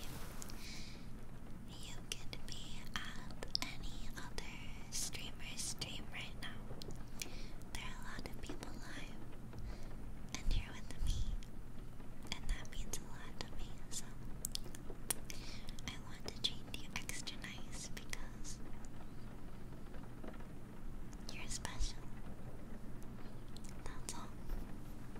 you could be at any other streamer's stream right now. There are a lot of people live, and you're with me, and that means a lot to me, so I want to treat you extra nice because you're special. That's all.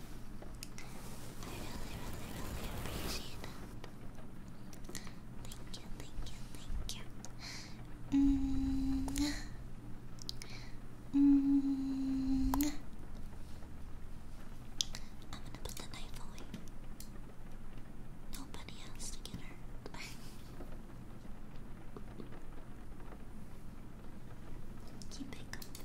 really appreciate that. Thank you, thank you, thank you. Mm. Mm. I'm gonna put the knife Nobody has to get Keep it going.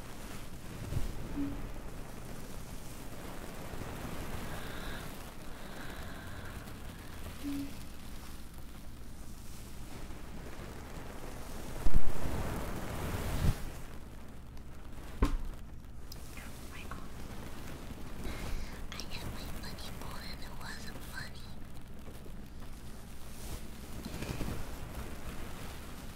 my God. I had my funny bone and it wasn't funny.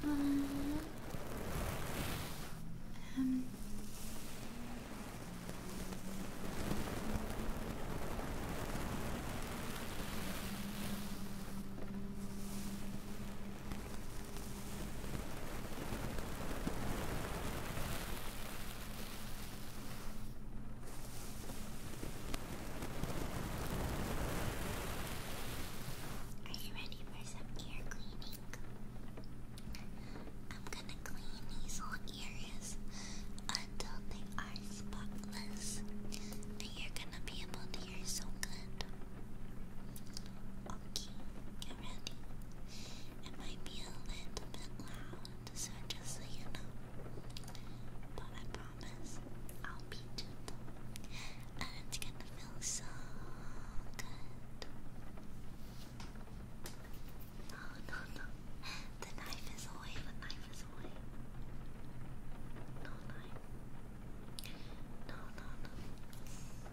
for um, um, I are you ready for some ear cleaning? I'm gonna clean these little areas until they are spotless. And you're gonna be able to hear so good. Okay, I'm ready. It might be a little bit loud, so just so you know. But I promise I'll be gentle. And it's gonna feel so good. No, no, no. The knife is away, the knife is away. No knife. No, no, no.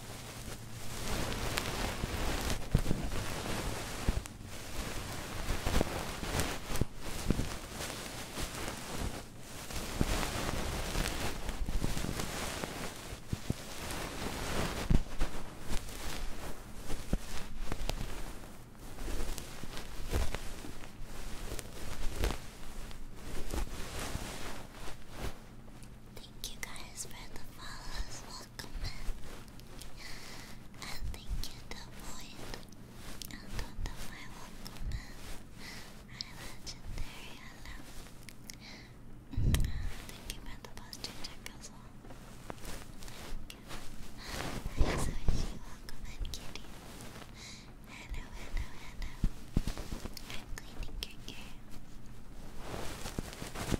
Thank you guys for the follows welcome in. And thank you, the void. And on the my welcome in. My legendary alarm. Thank you the posture check Hello, hello, hello. I'm cleaning your ear.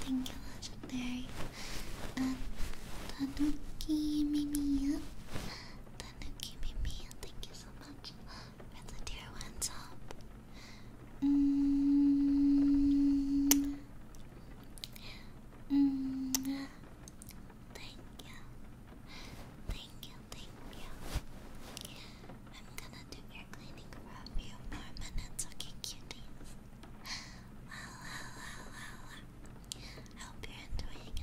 Thank you, legendary. Uh, Tanuki Mimiya. Tanuki Mimiya, thank you so much for the tier ones up. Mm. Mm. Thank you. Thank you, thank you. I'm gonna do your cleaning for a few more minutes, okay, cuties? La la la la I hope you're enjoying it.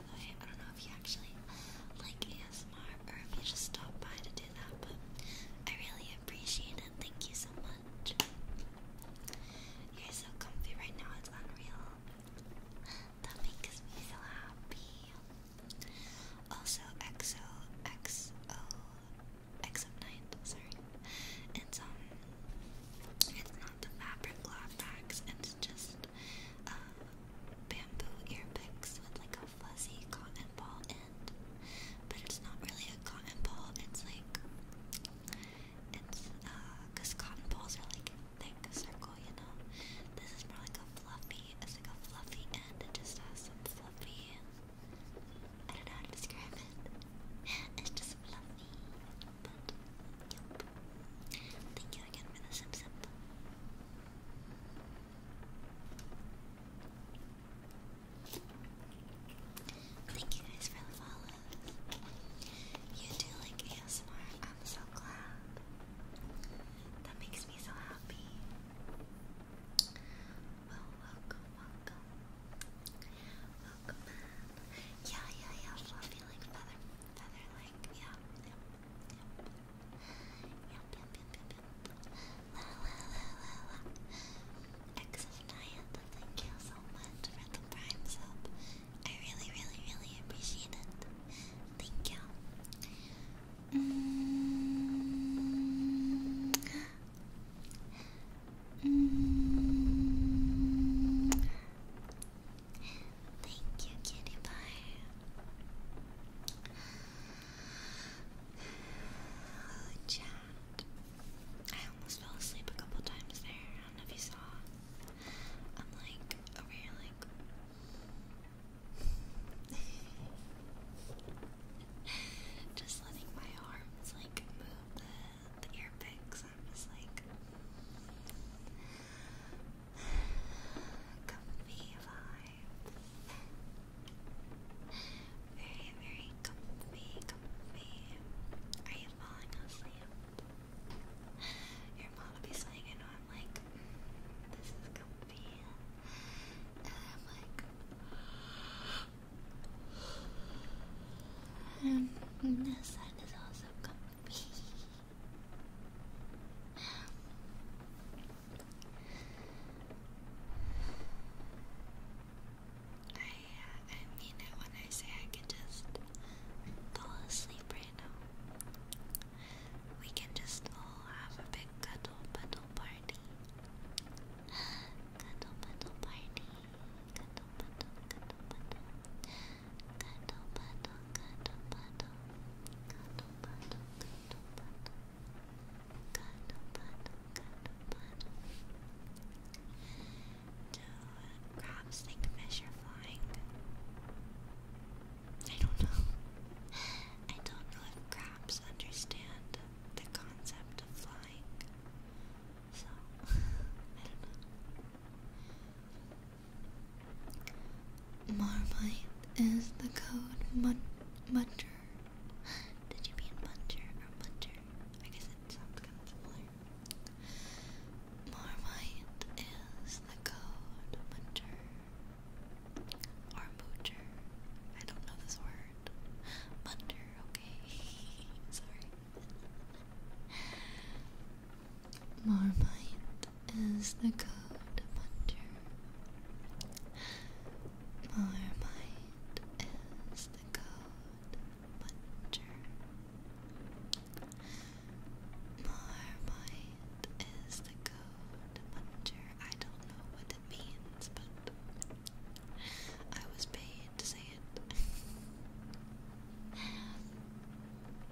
I don't know if you actually like ASMR or if you just stop by to do that, but I really appreciate it. Thank you so much. You're so comfy right now, it's unreal. That makes me so happy. Also, XO, XO, sorry. It's, um, it's not the fabric law facts, it's just uh, bamboo ear with like a fuzzy cotton ball end. But it's not really a cotton ball, it's like, it's, because uh, cotton balls are like thick circle, you know? This is more like a fluffy, it's like a fluffy end, it just has some fluffy, I don't know how to describe it. It's just fluffy, but, yep. Thank you again for the sip sip. Thank you guys for the follows. You do like ASMR. I'm so glad. That makes me so happy. welcome, welcome. Welcome, man. Yeah, yeah, yeah. Fluffy like feather, feather like yeah. Yep, yep, yep, yep, yep. La, la, la, la, la. X of Nyan, thank you so much for the prime sub. I really, really, really appreciate it. Thank you. Mm. Mm. Thank you, Kitty Pie. Oh, chat. I almost fell asleep a couple times there. I don't know if you saw. I'm like over here, like just letting my arms like move the the I'm just like comfy vibe. Very, very comfy, comfy. Are you falling asleep? Your mom will be saying, I know I'm like, this is comfy. And I'm like, this side is also comfy. I, uh, I mean it when I say I can just fall asleep right now. We can just all have a big cuddle puddle party. Cuddle puddle party. Cuddle puddle, cuddle puddle. Do crabs think measure flying? I don't know. I don't know if crabs understand the concept of flying. So, I don't know. Marmite is the code mut Did you mean muncher or muncher? I guess it sounds kind of similar. Marmite is the code muncher or moocher. I don't know this word. Muncher, okay. Sorry. Marmite is the code puncher. Marmite is the code puncher. Marmite is the code puncher. I don't know what it means, but I was paid to say it.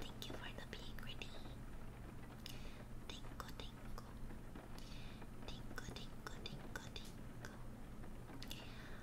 Thank you for the being ready. Tinko, tinko. Tinko, tinko, tinko, tinko.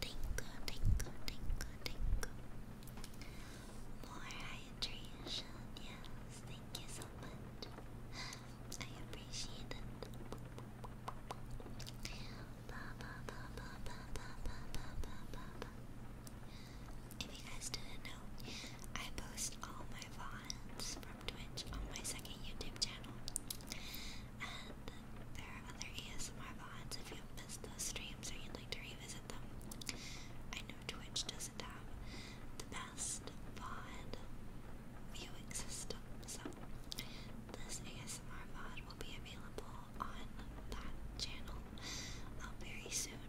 Tingle, tingle, tingle, tingle. More hydration, yes. Thank you so much. I appreciate it. If you guys didn't know, I post all my VODs from Twitch on my second YouTube channel. And there are other ASMR VODs if you've missed those streams or you'd like to revisit them. I know Twitch doesn't have the best VOD viewing system, so this ASMR VOD will be available on that channel uh, very soon.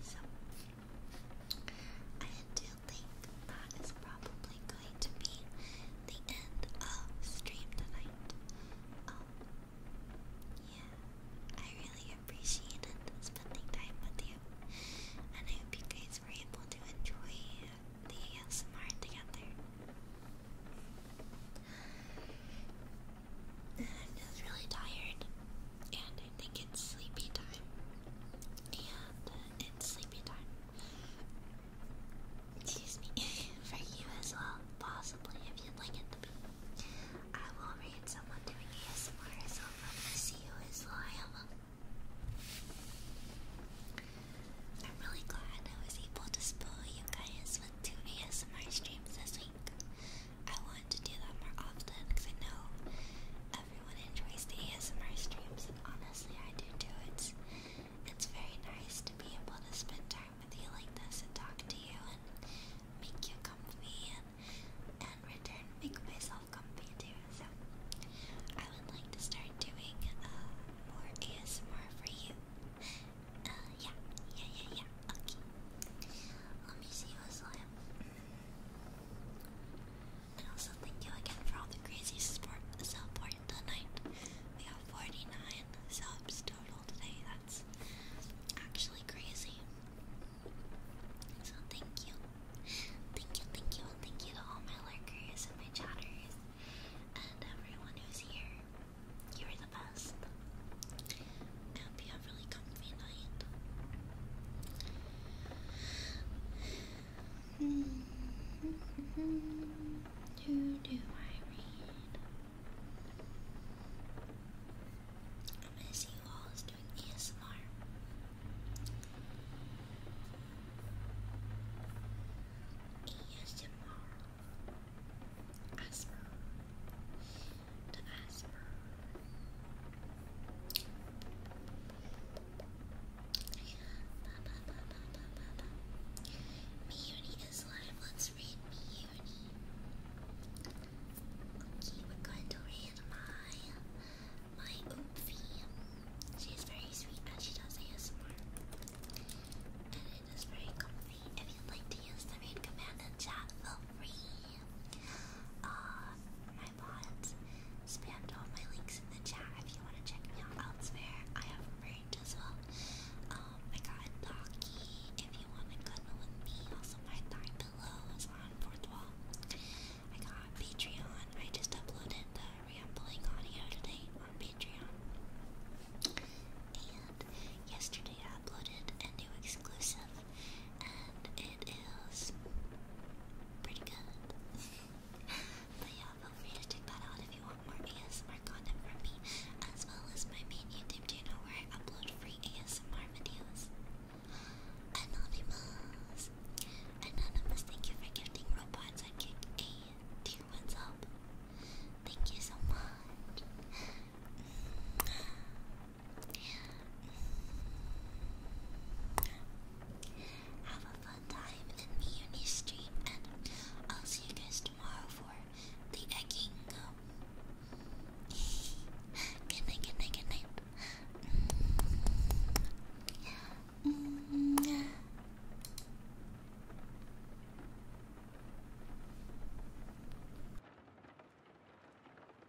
So, I do that is probably going to be the end of stream tonight. Um, yeah, I really appreciated spending time with you, and I hope you guys were able to enjoy the ASMR together. I'm just really tired and I think it's sleepy time. And uh, it's sleepy time. Excuse me, for you as well, possibly if you like it to be. I will read someone doing ASMR, so I'm see you as I'm really glad I was able to spoil you guys with two ASMR streams this week. I want to do that more often because I know everyone enjoys the ASMR streams, and honestly, I do too. It's it's very nice to be able to spend time with you like this and talk to you and make you comfy and and return make myself comfy too. So I would like to start doing uh, more ASMR for you. Uh, yeah, yeah, yeah, yeah. Okay. Let me see what's left. And also thank you again for all the crazy support support tonight. We got 49 subs total today. That's actually crazy. So thank you. Thank you, thank you, thank you to all my lurkers and my chatters and everyone who's here. You are the best. I you have hmm. do I read? I miss you all is doing ASMR. ASMR. Asper. The Asper. Miyuni is live. Let's read Miyuni. Okay, we're going to read my my Oopfie. She's very sweet and she does ASMR. And it is very comfy. If you'd like to use the read command chat, feel free. Uh, my bots spammed all my links in the chat if you want to check me out elsewhere. I have merch as well. Um, I got Doki if you want to cuddle with me. Also, my thigh pillow is on fourth wall. I got Patreon. I just uploaded the rambling audio today on Patreon. And yesterday I uploaded a new exclusive and it is pretty good. but yeah, feel free to check that out if you want more ASMR content from me, as well as my main YouTube channel where I upload free ASMR videos. Anonymous! Anonymous, thank you for gifting robots I kick a tier up. Thank you so much. Have a fun time in the uni stream, and I'll see you guys tomorrow for the egg good night, good night, good